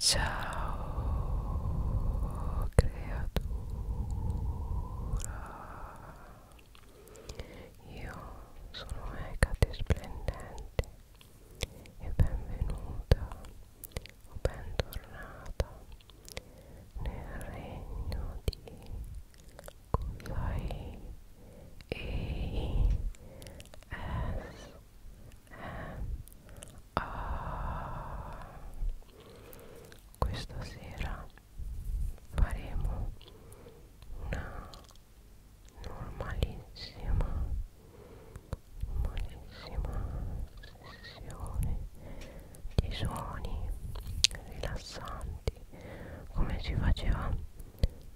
Ciao creatura Io sono Ecate Splendente e benvenuta o bentornata nel regno di Kusai e S ah, questa sera faremo una normalissima normalissima sessione di suoni rilassanti come si faceva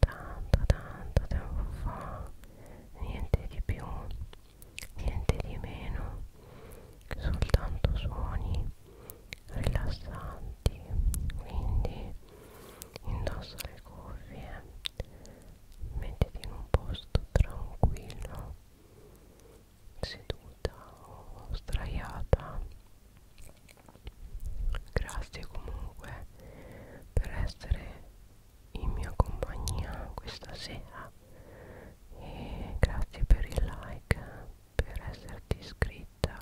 tanto tanto tempo fa niente di più niente di meno soltanto suoni rilassanti quindi indossa le cuffie mettiti in un posto tranquillo seduta o straiata grazie comunque per essere in mia compagnia questa sera e grazie per il like, per esserti iscritta,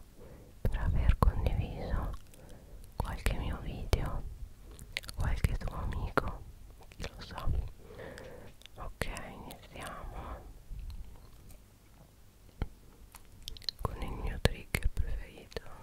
per aver condiviso qualche mio video, qualche tuo amico, chi lo so. Ok, iniziamo con il mio trigger preferito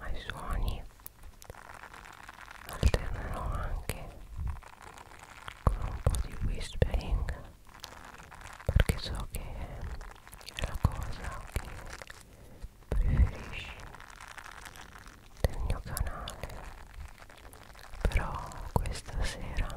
ai suoni alternerò anche con un po' di whispering perché so che è la cosa che preferisci del mio canale però questa sera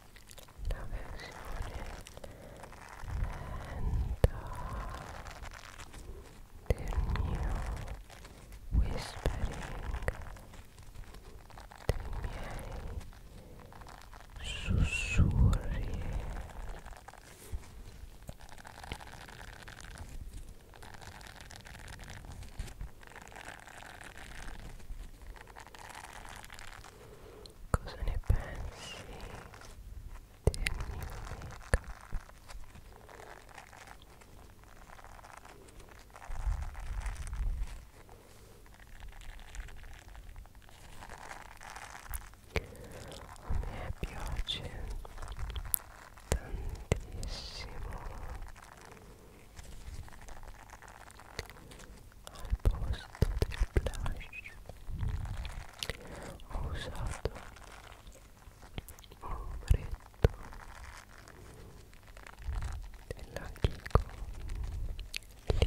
la versione lenta del mio whispering dei miei sussurri Cosa ne pensi del mio make-up? A me piace tantissimo al posto del blush ho usato un ombretto della Kiko lilla e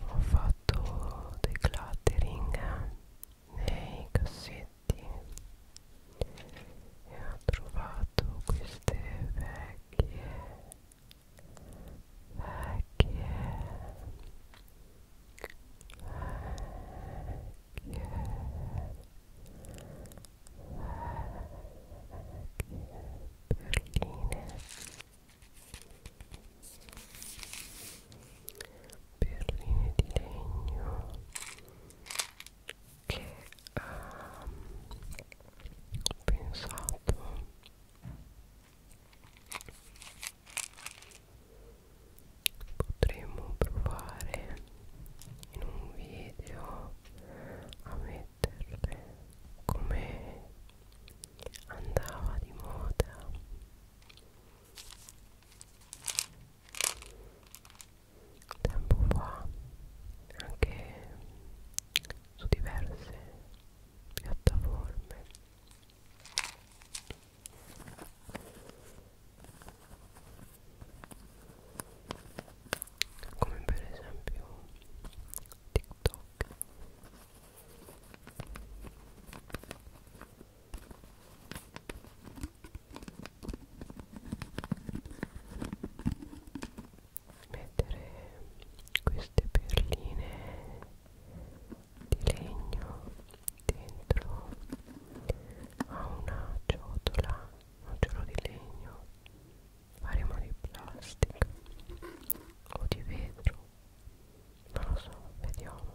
ho fatto dei cluttering nei cassetti e ho trovato queste vecchie vecchie vecchie perline di legno che um, ho pensato potremmo provare in un video a metterle come andava di moda tempo fa anche su diverse piattaforme come per esempio TikTok mettere queste perline di legno dentro a una ciotola un giorno di legno faremo di plastica o di vetro non lo so vediamo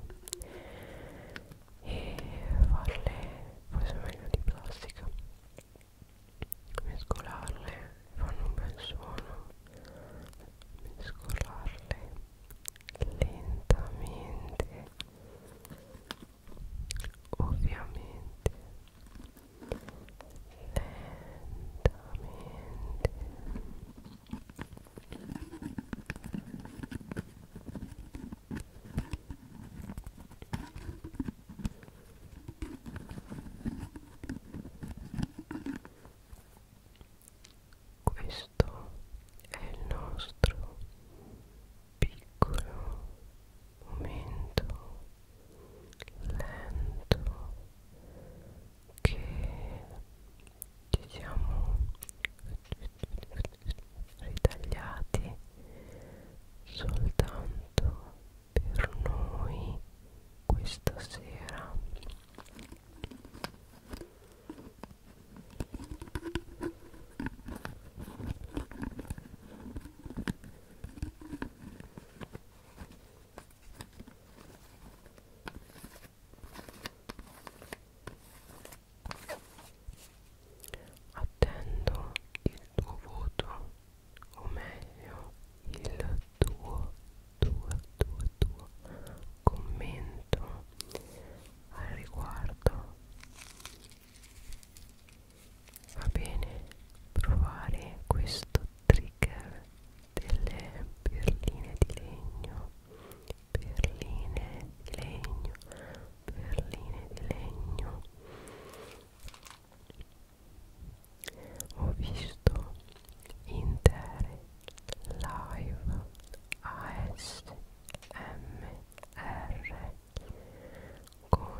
e farle forse meglio di plastica mescolarle fanno un bel suono mescolarle lentamente ovviamente lentamente questo è il nostro piccolo momento lento che ci siamo ritagliati soltanto per noi questa sera Attendo il tuo voto, o meglio il tuo, tuo, tuo, tuo commento al riguardo va bene provare questo trigger delle perline di legno perline di legno perline di legno ho visto intere live ASMR R con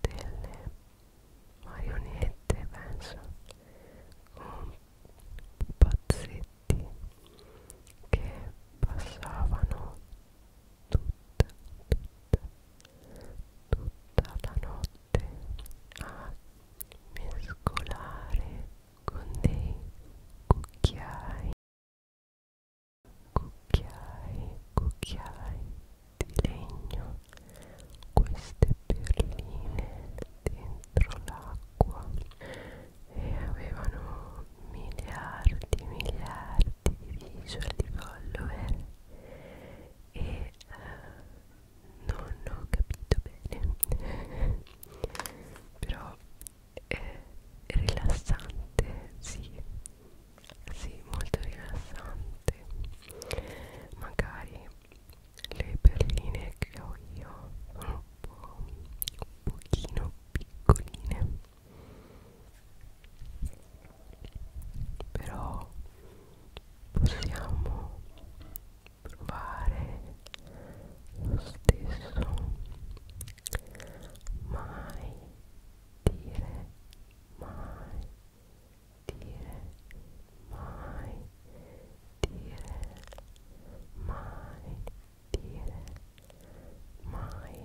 delle marionette penso con pazzetti che passavano tutta tutta tutta la notte a mescolare con dei cucchiai cucchiai, cucchiai di legno, queste perline dentro l'acqua e avevano miliardi, miliardi di visual di follower e uh, non ho capito bene però eh, rilassante, sì, sì, molto rilassante. Magari le perline che ho io sono un po' un pochino piccoline, però possiamo provare lo stesso mai dire mai dire mai dire mai dire mai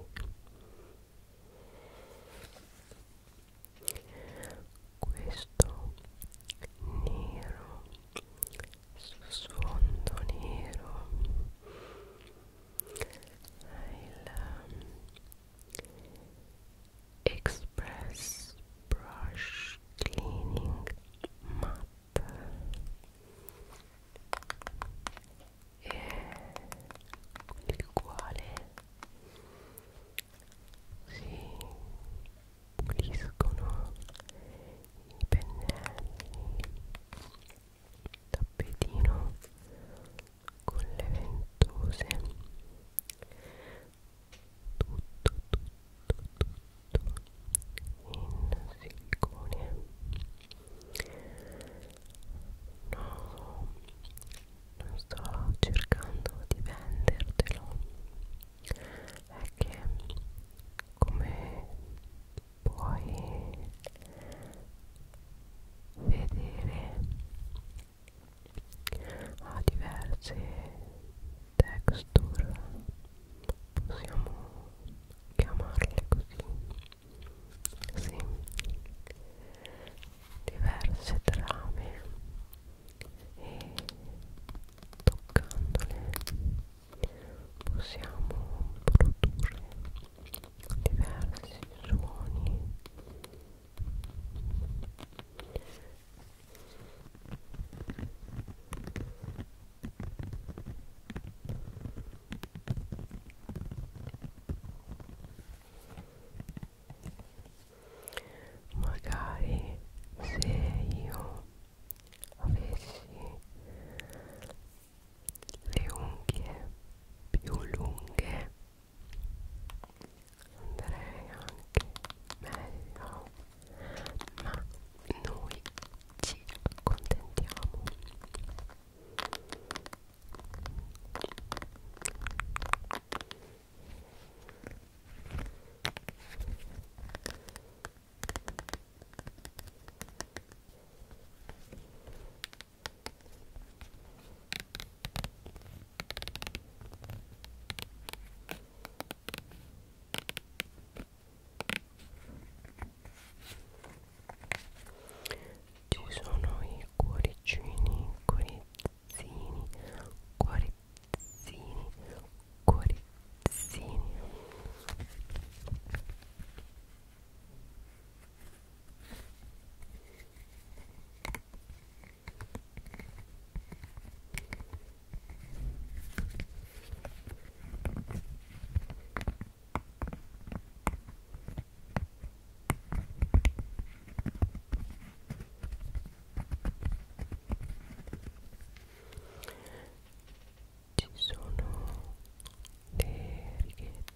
questo nero su sfondo nero il um, Express Brush Cleaning Matte e il quale si puliscono i pennelli tappetino con le ventose tutto tutto tutto in silicone no non sto cercando di vendertelo è che come puoi vedere diverse texture possiamo chiamarle così diverse trame e toccandole possiamo produrre diversi suoni magari se io avessi le unghie più lunghe andrei anche meglio ma noi ci accontentiamo ci sono i cuoricini cuorizzini cuorizzini cuorizzini ci sono le righe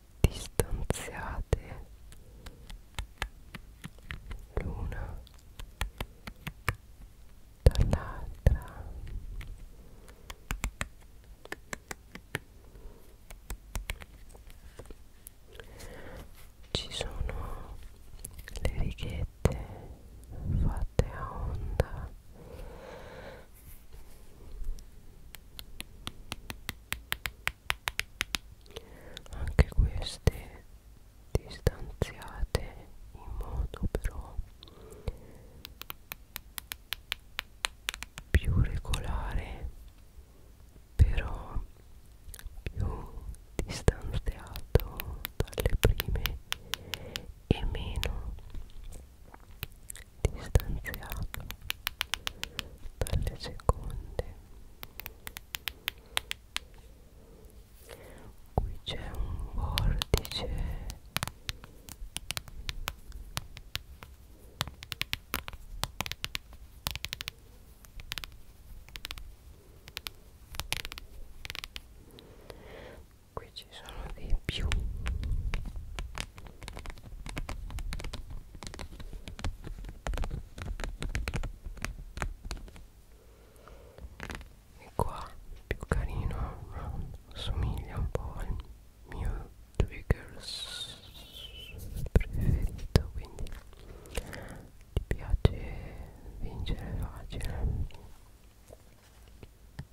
distanziate l'una dall'altra ci sono le righette fatte a onda anche queste distanziate in modo però più regolare però più distanziato dalle prime e meno distanziato dalle seconde qui c'è un vortice qui ci sono dei più e qua più carino assomiglia un po' al mio trigger preferito quindi ti piace vincere facile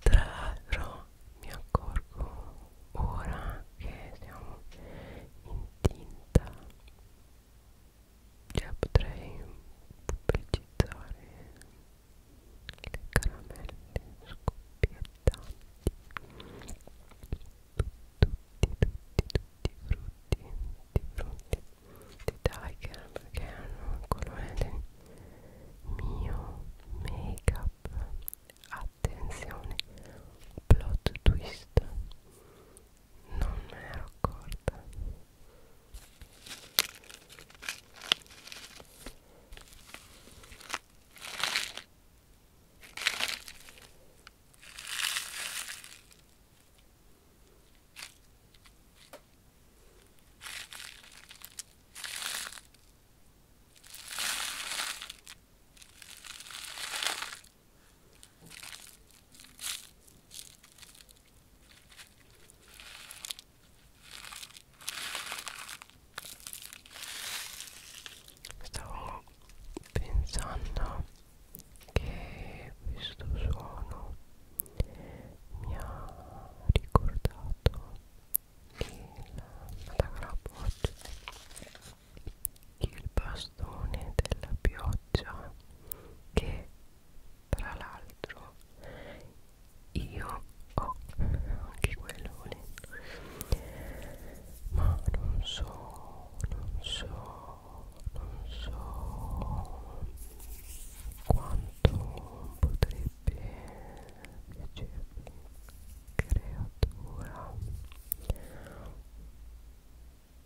Traro mi accorgo ora che siamo in tinta cioè potrei pubblicizzare le caramelle scoppiettanti tutti tutti tutti i frutti di frutti di tiger perché hanno un colore mio make up attenzione plot twist non me ne ero accorta Stavo pensando che questo suono mi ha ricordato usato il madagrapoccio il bastone della pioggia che tra l'altro io ho anche quello ma non so non so non so quanto potrei piacevoli creatura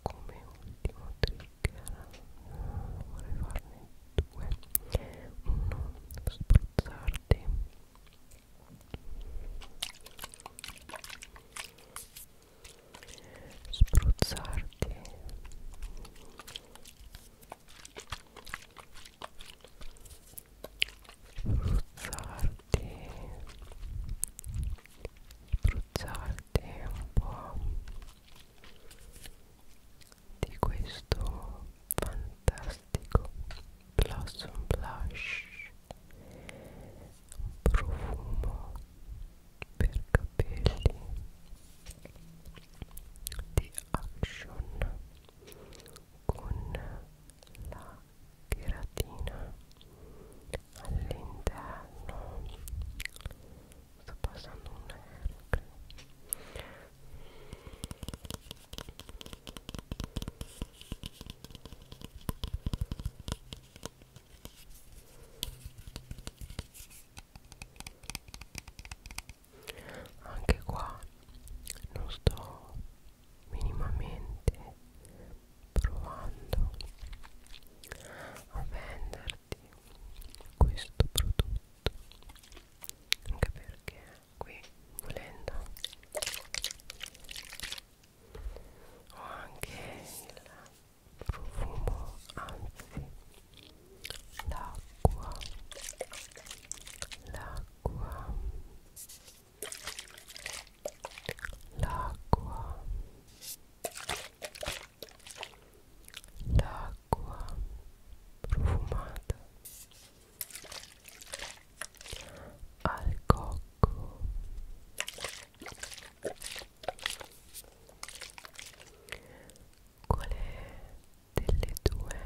come ultimo trigger vorrei farne due uno spruzzarti spruzzarti spruzzarti spruzzarti un po' di questo fantastico blossom blush profumo per capelli di action con la cheratina all'interno sto passando un aereo anche qua non sto minimamente provando a venderti questo prodotto anche perché qui volendo ho anche il profumo anzi l'acqua l'acqua l'acqua l'acqua profumata al cocco qual è delle due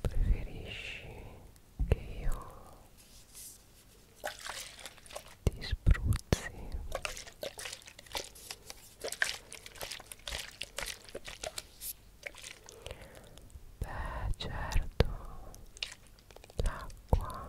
preferisci che io ti spruzzi beh certo l'acqua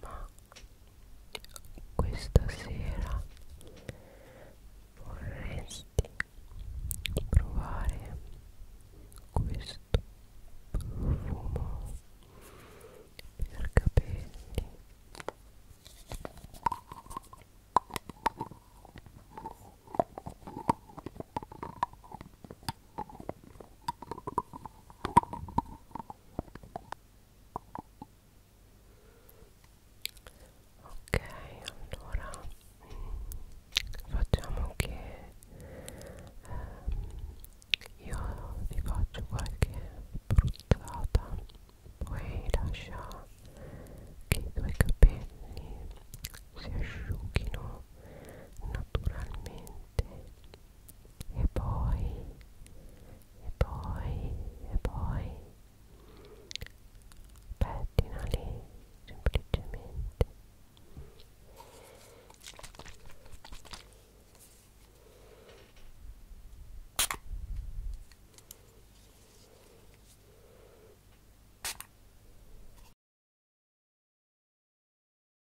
ma questa sera vorresti provare questo profumo per capelli ok allora mm, facciamo che eh, io vi faccio qualche bruttata poi lascia che i tuoi capelli si asciughino naturalmente e poi e poi e poi pettina lì semplicemente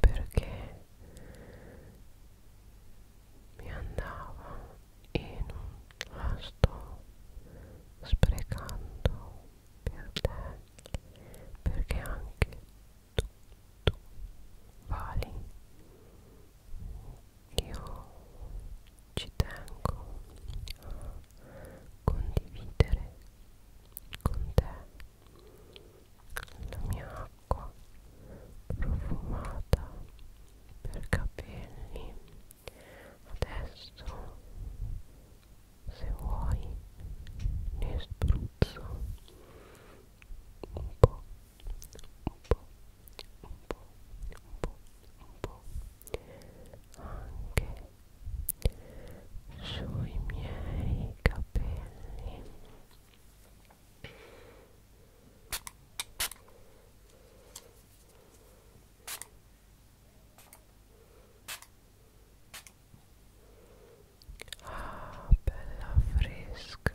perché mi andava e non la sto sprecando per te perché anche tu, tu vali io ci tengo a condividere con te la mia acqua profumata per capelli adesso se vuoi ne spruzzo un po' un po' un po' un po' un po' anche sui miei capelli Ah, bella fresca.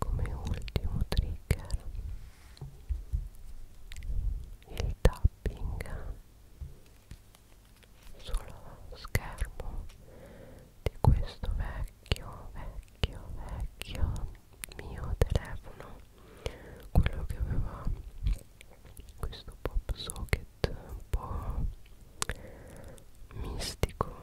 come ultimo trigger il tapping sullo schermo di questo vecchio vecchio vecchio mio telefono quello che aveva questo pop socket un po' mistico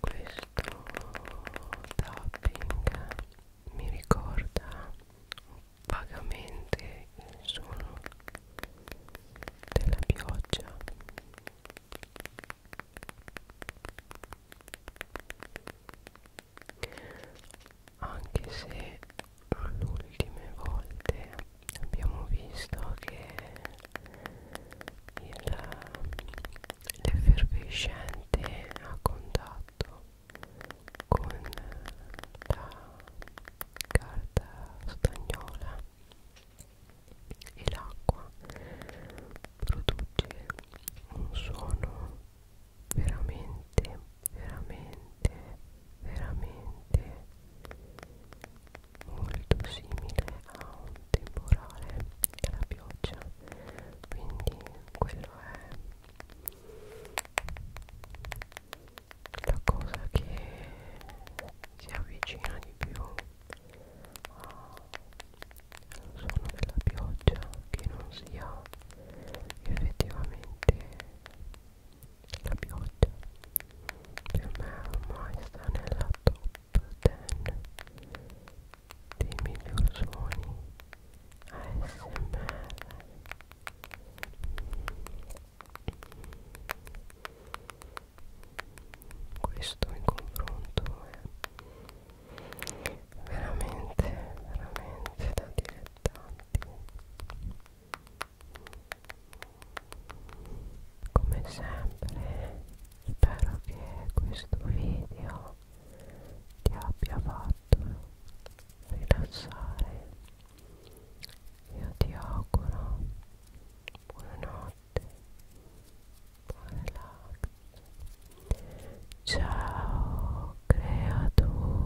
questo tapping mi ricorda vagamente il suono della pioggia anche se l'ultime volte abbiamo visto che l'effervescente a contatto con la carta stagnola e l'acqua produce un suono veramente veramente veramente molto simile a un temporale e alla pioggia quindi quello è la cosa che si avvicina di più al suono della pioggia che non sia effettivamente la pioggia per me ormai sta nella top 10 dei miglior suoni ASMR questo in confronto è veramente veramente da dilettanti come sempre spero che questo video ti abbia fatto rilassare io ti auguro buonanotte buon relax ciao creatura